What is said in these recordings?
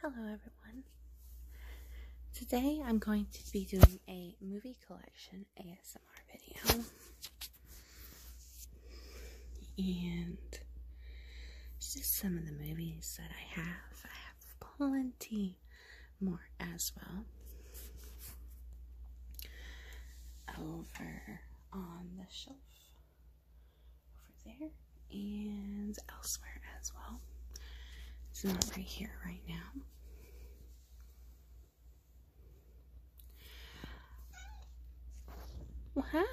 Hello everyone. Today I'm going to be doing a movie collection ASMR video. And just some of the movies that I have. I have plenty more as well. Over on the shelf over there and elsewhere as well. It's not right here right now. Well,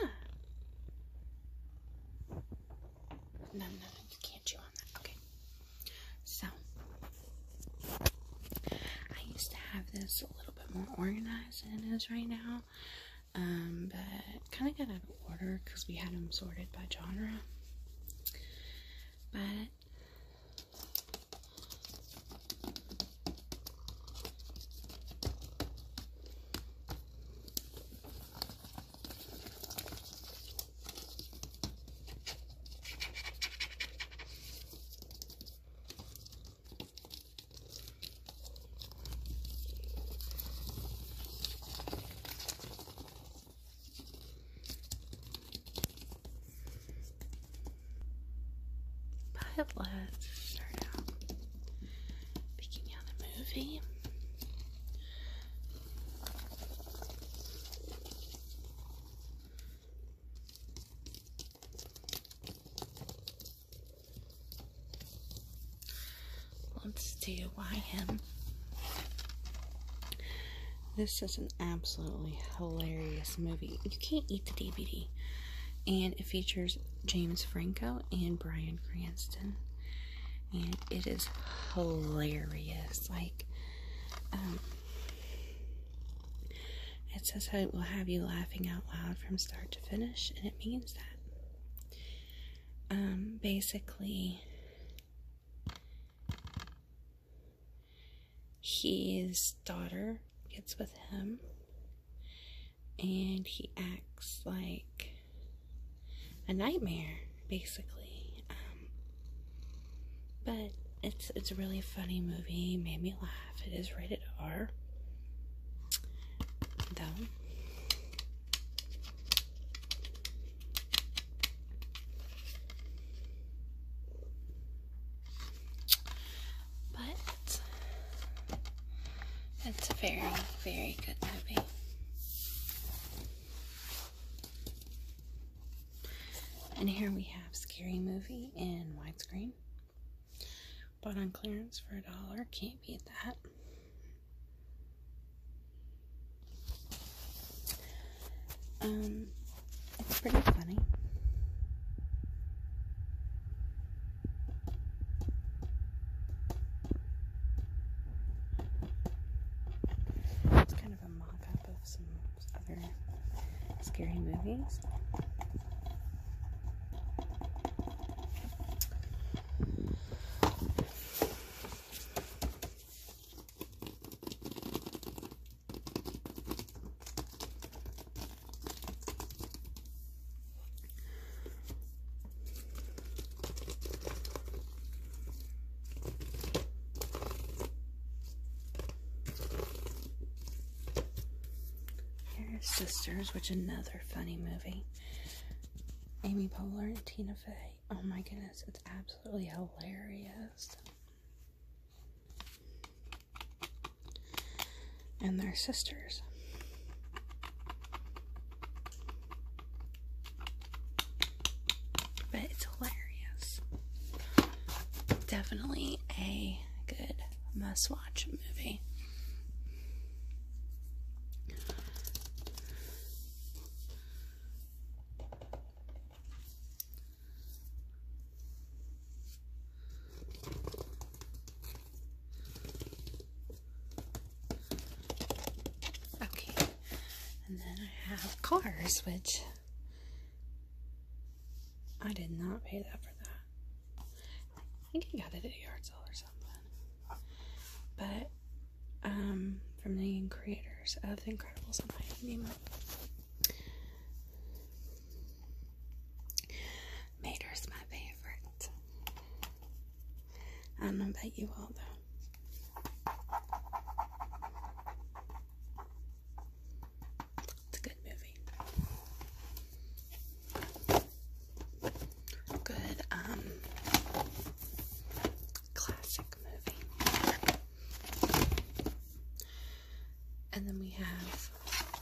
No, no, no, you can't chew on that. Okay. So, I used to have this a little bit more organized than it is right now um, but kind of got out of order because we had them sorted by genre. But but let's start out picking out a movie. Let's do YM. This is an absolutely hilarious movie. You can't eat the DVD. And it features James Franco and Brian Cranston. And it is hilarious. Like, um, it says how it will have you laughing out loud from start to finish, and it means that. Um, basically his daughter gets with him and he acts like a nightmare basically um, but it's it's a really funny movie made me laugh it is rated r but it's very, very good movie. And here we have Scary Movie in widescreen. Bought on clearance for a dollar. Can't beat that. Um, it's pretty funny. It's kind of a mock up of some other scary movies. Here's Sisters, which another funny movie. Amy Poehler and Tina Fey. Oh my goodness, it's absolutely hilarious. And they're sisters. But it's hilarious. Definitely a good must watch movie. Okay, and then I have cars, which I did not pay that for that. I think he got it at a yard sale or something. But um, from the creators of The Incredibles, I might name it. Mater's my favorite. I don't know you all though. It's a good movie good um classic movie. And then we have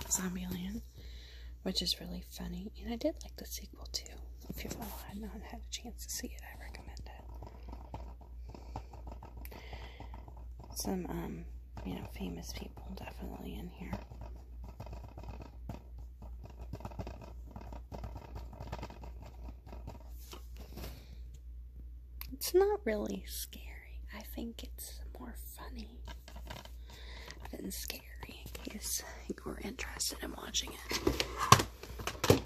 Zombieland, which is really funny. And I did like the sequel too. If you've not had a chance to see it, I recommend it. Some um you know, famous people definitely in here. It's not really scary. I think it's more funny than scary in case you were interested in watching it. Oh,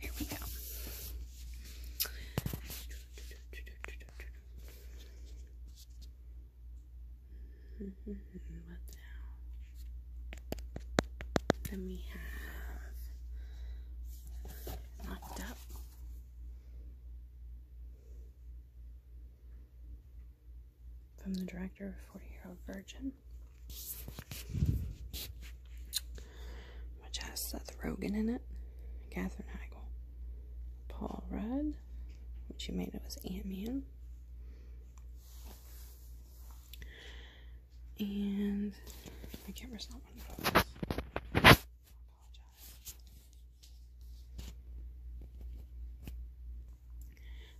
here we go what now? Then we have locked up. From the director of Forty Year Old Virgin which has Seth Rogen in it, Katherine Heigl, Paul Rudd, which you may know as Ant Man, and my camera's not one of those.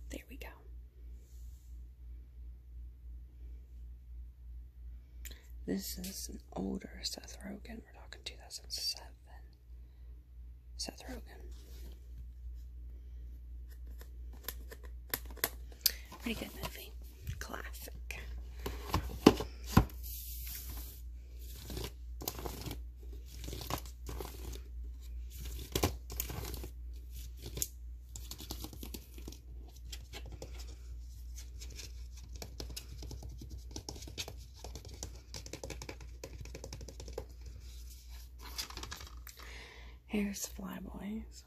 There we go. This is an older Seth Rogen. We're talking 2007. Seth Rogen. Pretty good movie. Classic. Here's Flyboys.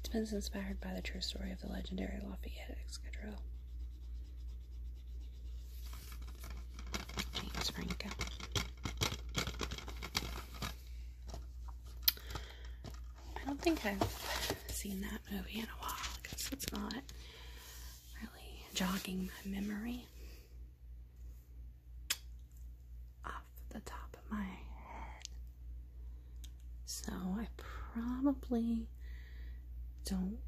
It's been inspired by the true story of the legendary Lafayette Escadrille. James Franco. I don't think I've seen that movie in a while because it's not really jogging my memory off the top of my head. So I probably don't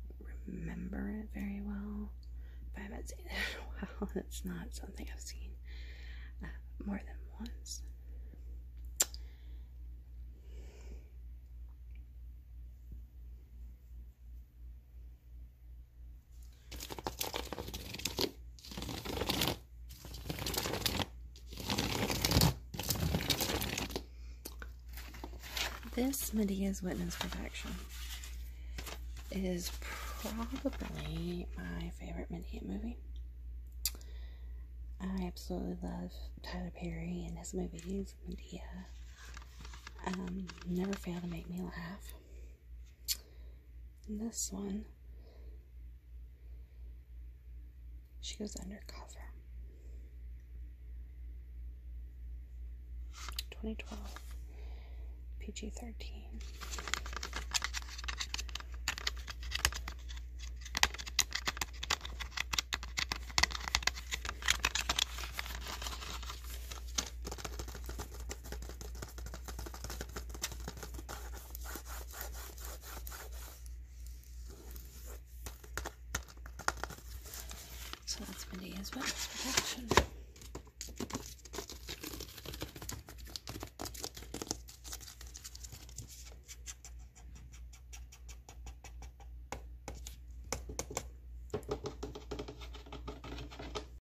remember it very well. But I have been seeing it in a while, and it's not something I've seen uh, more than once. This Medea's Witness Protection is probably my favorite Medea movie. I absolutely love Tyler Perry and his movies. Medea um, never fail to make me laugh. And this one, she goes undercover. 2012, PG 13. So that's MIDI as well as protection.